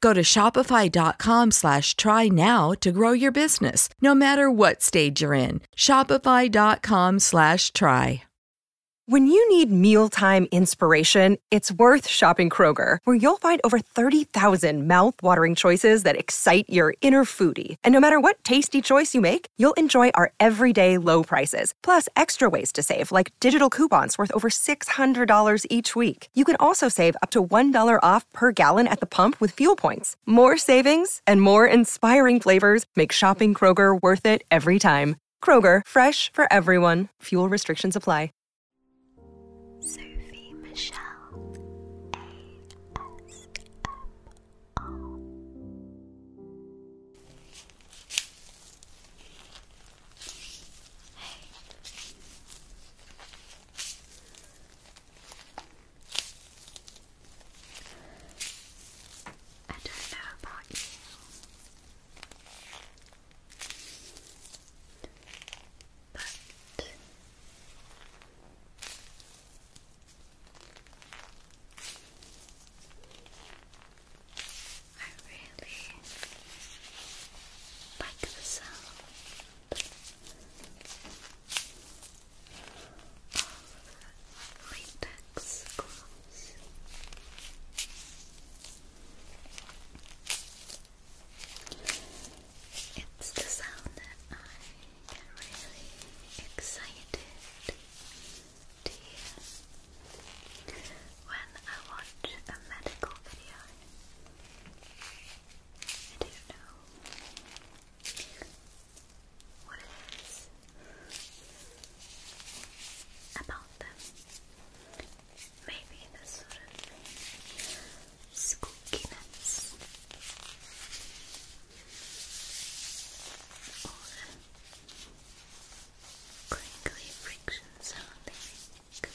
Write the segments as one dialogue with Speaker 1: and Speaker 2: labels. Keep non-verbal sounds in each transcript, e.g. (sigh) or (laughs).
Speaker 1: Go to shopify.com slash try now to grow your business, no matter what stage you're in. Shopify.com slash try. When you need mealtime inspiration, it's worth shopping Kroger, where you'll find over 30,000
Speaker 2: mouthwatering choices that excite your inner foodie. And no matter what tasty choice you make, you'll enjoy our everyday low prices, plus extra ways to save, like digital coupons worth over $600 each week. You can also save up to $1 off per gallon at the pump with fuel points. More savings and more inspiring flavors make shopping Kroger worth it every time. Kroger, fresh for everyone. Fuel restrictions apply. Sophie Michelle. I don't know about you, but I really like the sound. It's the sound that I get really excited to hear when I watch a medical video. I don't know what it is about them. Maybe this sort of spookiness
Speaker 1: or crinkly friction sound. I think.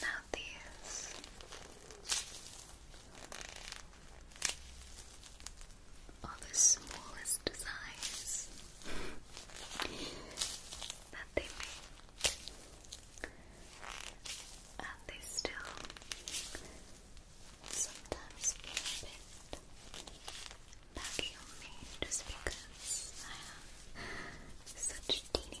Speaker 1: Now these
Speaker 2: are the smallest designs (laughs) that they make and
Speaker 1: they still sometimes feel a bit baggy on me just because I have such teeny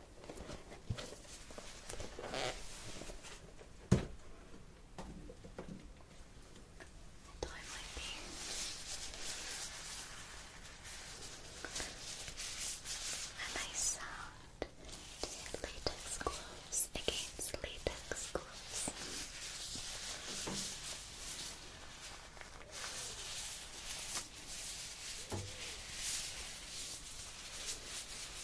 Speaker 1: A time like A nice sound latex gloves against latex gloves.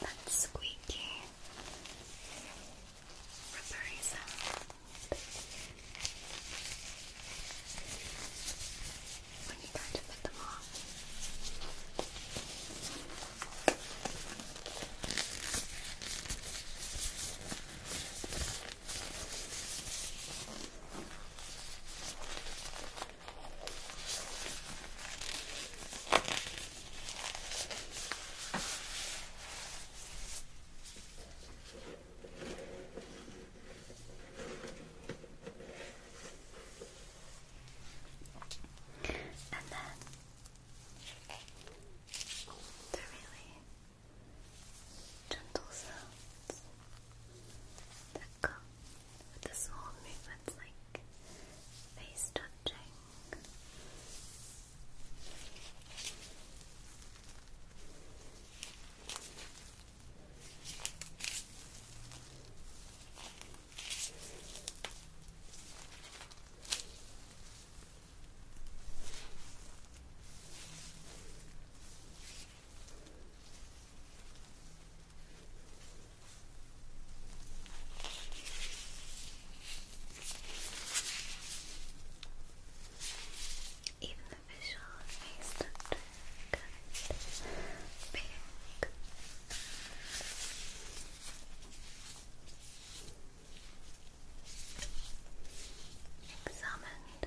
Speaker 2: That squeaky, rubbery sound. When you go to put them on. And
Speaker 1: then the really gentle sounds that come with the small movements like face touching. Even the visual face doctor got Examined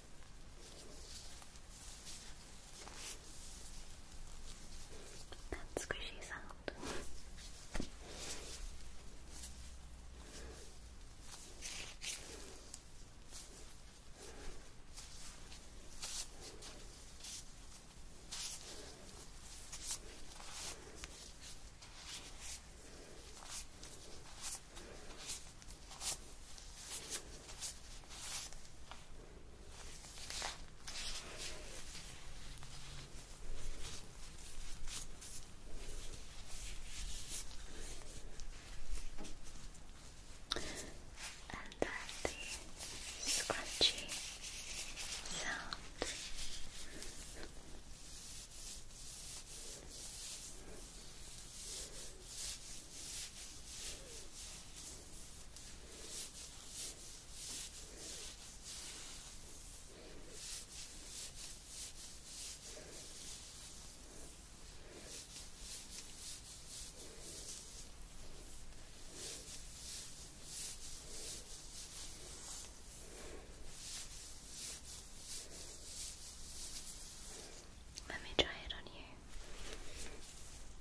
Speaker 1: That squishy sound. And then the scratchy sound.
Speaker 2: Let me try it on you.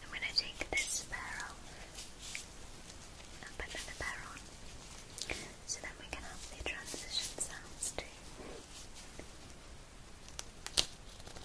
Speaker 2: I'm going to take this pair and put another pair on
Speaker 1: so that we can have the transition sounds too.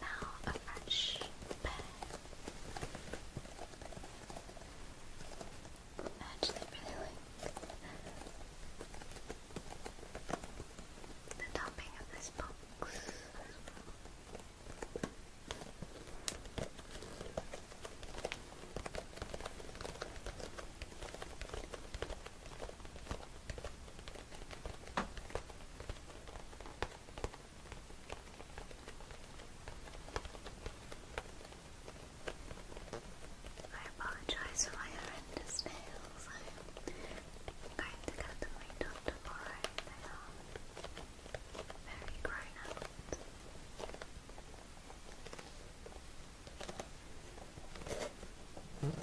Speaker 1: Now a fresh pen. I actually really like the topping of this box I apologize for my horrendous nails. I'm going to get them redone tomorrow. They very grown out. I hmm?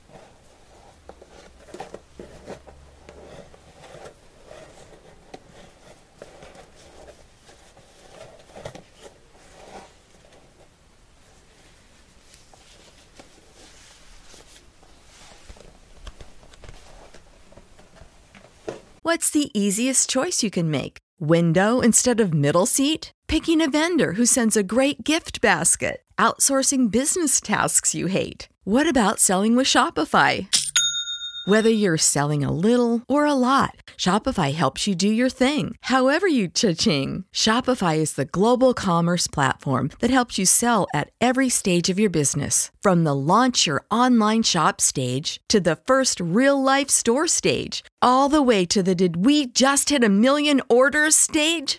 Speaker 1: What's the easiest choice you can make? Window instead of middle seat? Picking a vendor who sends a great gift basket. Outsourcing business tasks you hate. What about selling with Shopify? Whether you're selling a little or a lot, Shopify helps you do your thing, however you cha-ching. Shopify is the global commerce platform that helps you sell at every stage of your business. From the launch your online shop stage to the first real-life store stage, all the way to the did we just hit a million orders stage.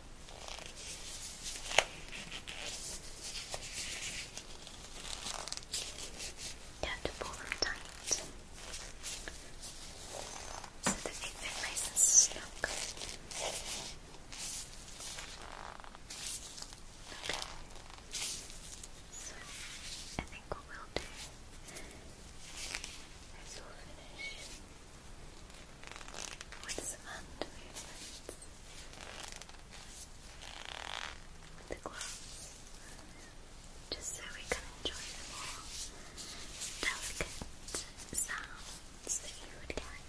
Speaker 2: You to pull them tight so that they fit nice and snug.
Speaker 1: Okay. So I think what we'll do is we'll finish with some hand movements the gloves just so we can enjoy the more
Speaker 2: delicate sounds that you would get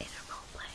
Speaker 2: in a role play.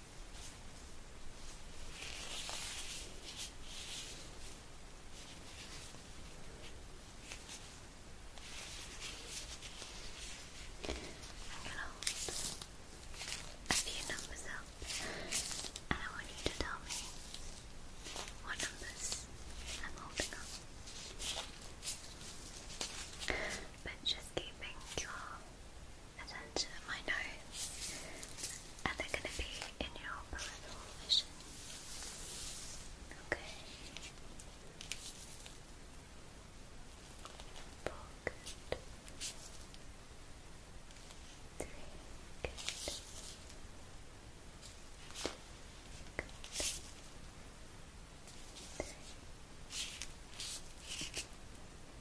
Speaker 1: a few numbers up, and I want you to tell me what numbers I'm holding up. But just keeping your attention to my nose and they going to be in your peripheral vision. Okay. Focused. Three. Good. Good. Three.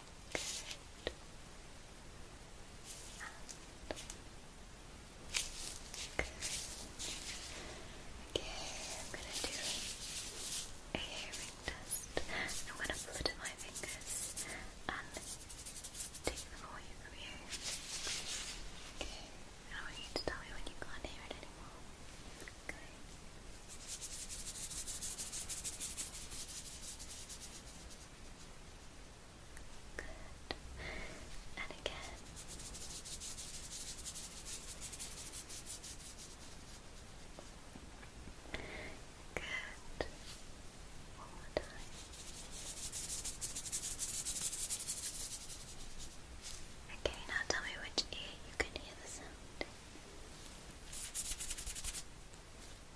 Speaker 1: Good. And Okay, I'm gonna do a hearing test. I'm gonna flutter my fingers and take them away from you. Okay, I want you to tell me when you can't hear it anymore. Good. And again. Good. One more time. Okay, now tell me which ear you can hear the sound.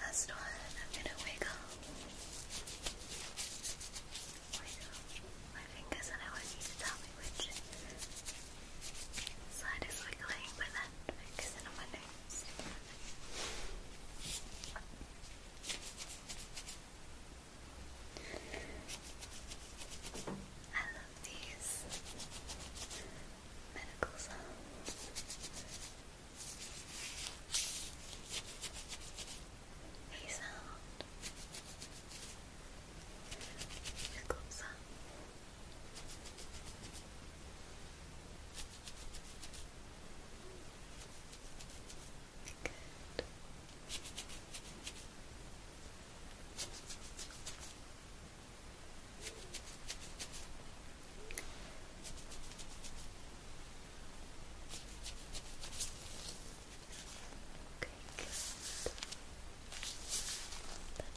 Speaker 2: Last one, I'm gonna wiggle. Wiggle my fingers, and I want you to tell me which side is wiggling, but then focusing on my nose.
Speaker 1: I love these medical sounds. Hey sound. Medical sound. Good. Okay, That's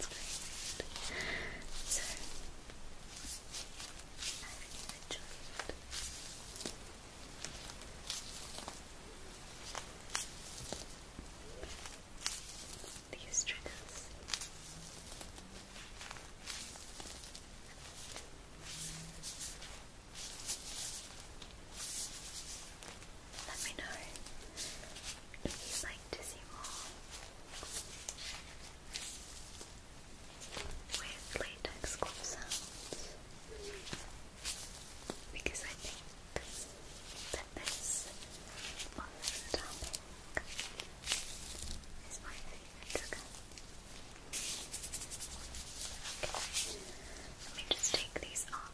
Speaker 2: great. So, i enjoyed these triggers. Let me know if you'd like to see more
Speaker 1: with latex glove because I think that this on this topic is my favorite
Speaker 2: trigger. Okay, let me just take these off.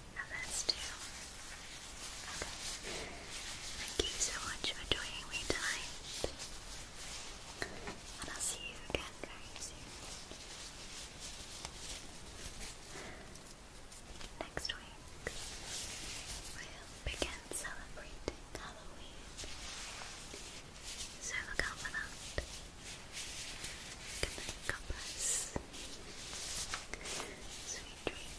Speaker 2: And too. Okay. Thank you so much for joining me tonight. And I'll see you again very
Speaker 1: Next week, we'll begin celebrating Halloween. So look out for that. Good night, Sweet dreams.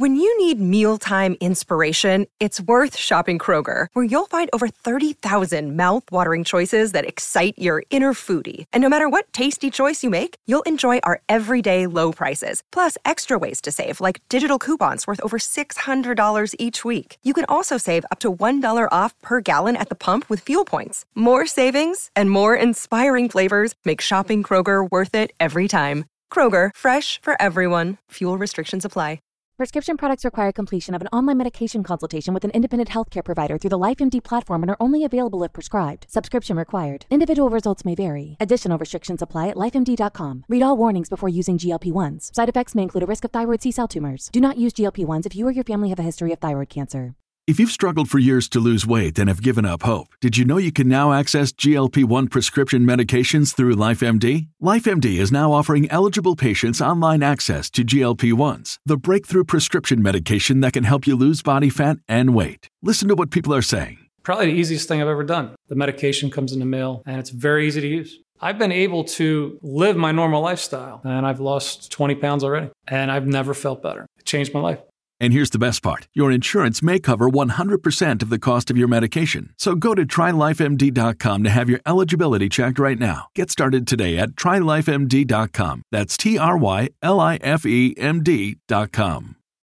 Speaker 2: When you need mealtime inspiration, it's worth shopping Kroger, where you'll find over 30,000 mouthwatering choices that excite your inner foodie. And no matter what tasty choice you make, you'll enjoy our everyday low prices, plus extra ways to save, like digital coupons worth over $600 each week. You can also save up to $1 off per gallon at the pump with fuel points. More savings and more inspiring flavors make shopping Kroger worth it every time. Kroger, fresh for everyone.
Speaker 1: Fuel restrictions apply. Prescription products require completion of an online medication consultation with an independent healthcare provider through the LifeMD platform and are only available if prescribed. Subscription required. Individual results may vary. Additional restrictions apply at lifemd.com. Read all warnings before using GLP 1s. Side effects may include a risk of thyroid C cell tumors. Do not use GLP 1s if you or your family have a history of thyroid cancer.
Speaker 2: If you've struggled for years to lose weight and have given up hope, did you know you can now access GLP 1 prescription medications through LifeMD? LifeMD is now offering eligible patients online access to GLP 1s, the breakthrough prescription medication that can help you lose body fat and weight. Listen to what people are saying.
Speaker 1: Probably the easiest thing I've ever done. The medication comes in the mail and it's very easy to use. I've been able to live my normal lifestyle and I've lost 20 pounds already and I've never felt better. It
Speaker 2: changed my life. And here's the best part your insurance may cover 100% of the cost of your medication. So go to trylifemd.com to have your eligibility checked right now. Get started today at trylifemd.com. That's T R Y L I F E M D.com.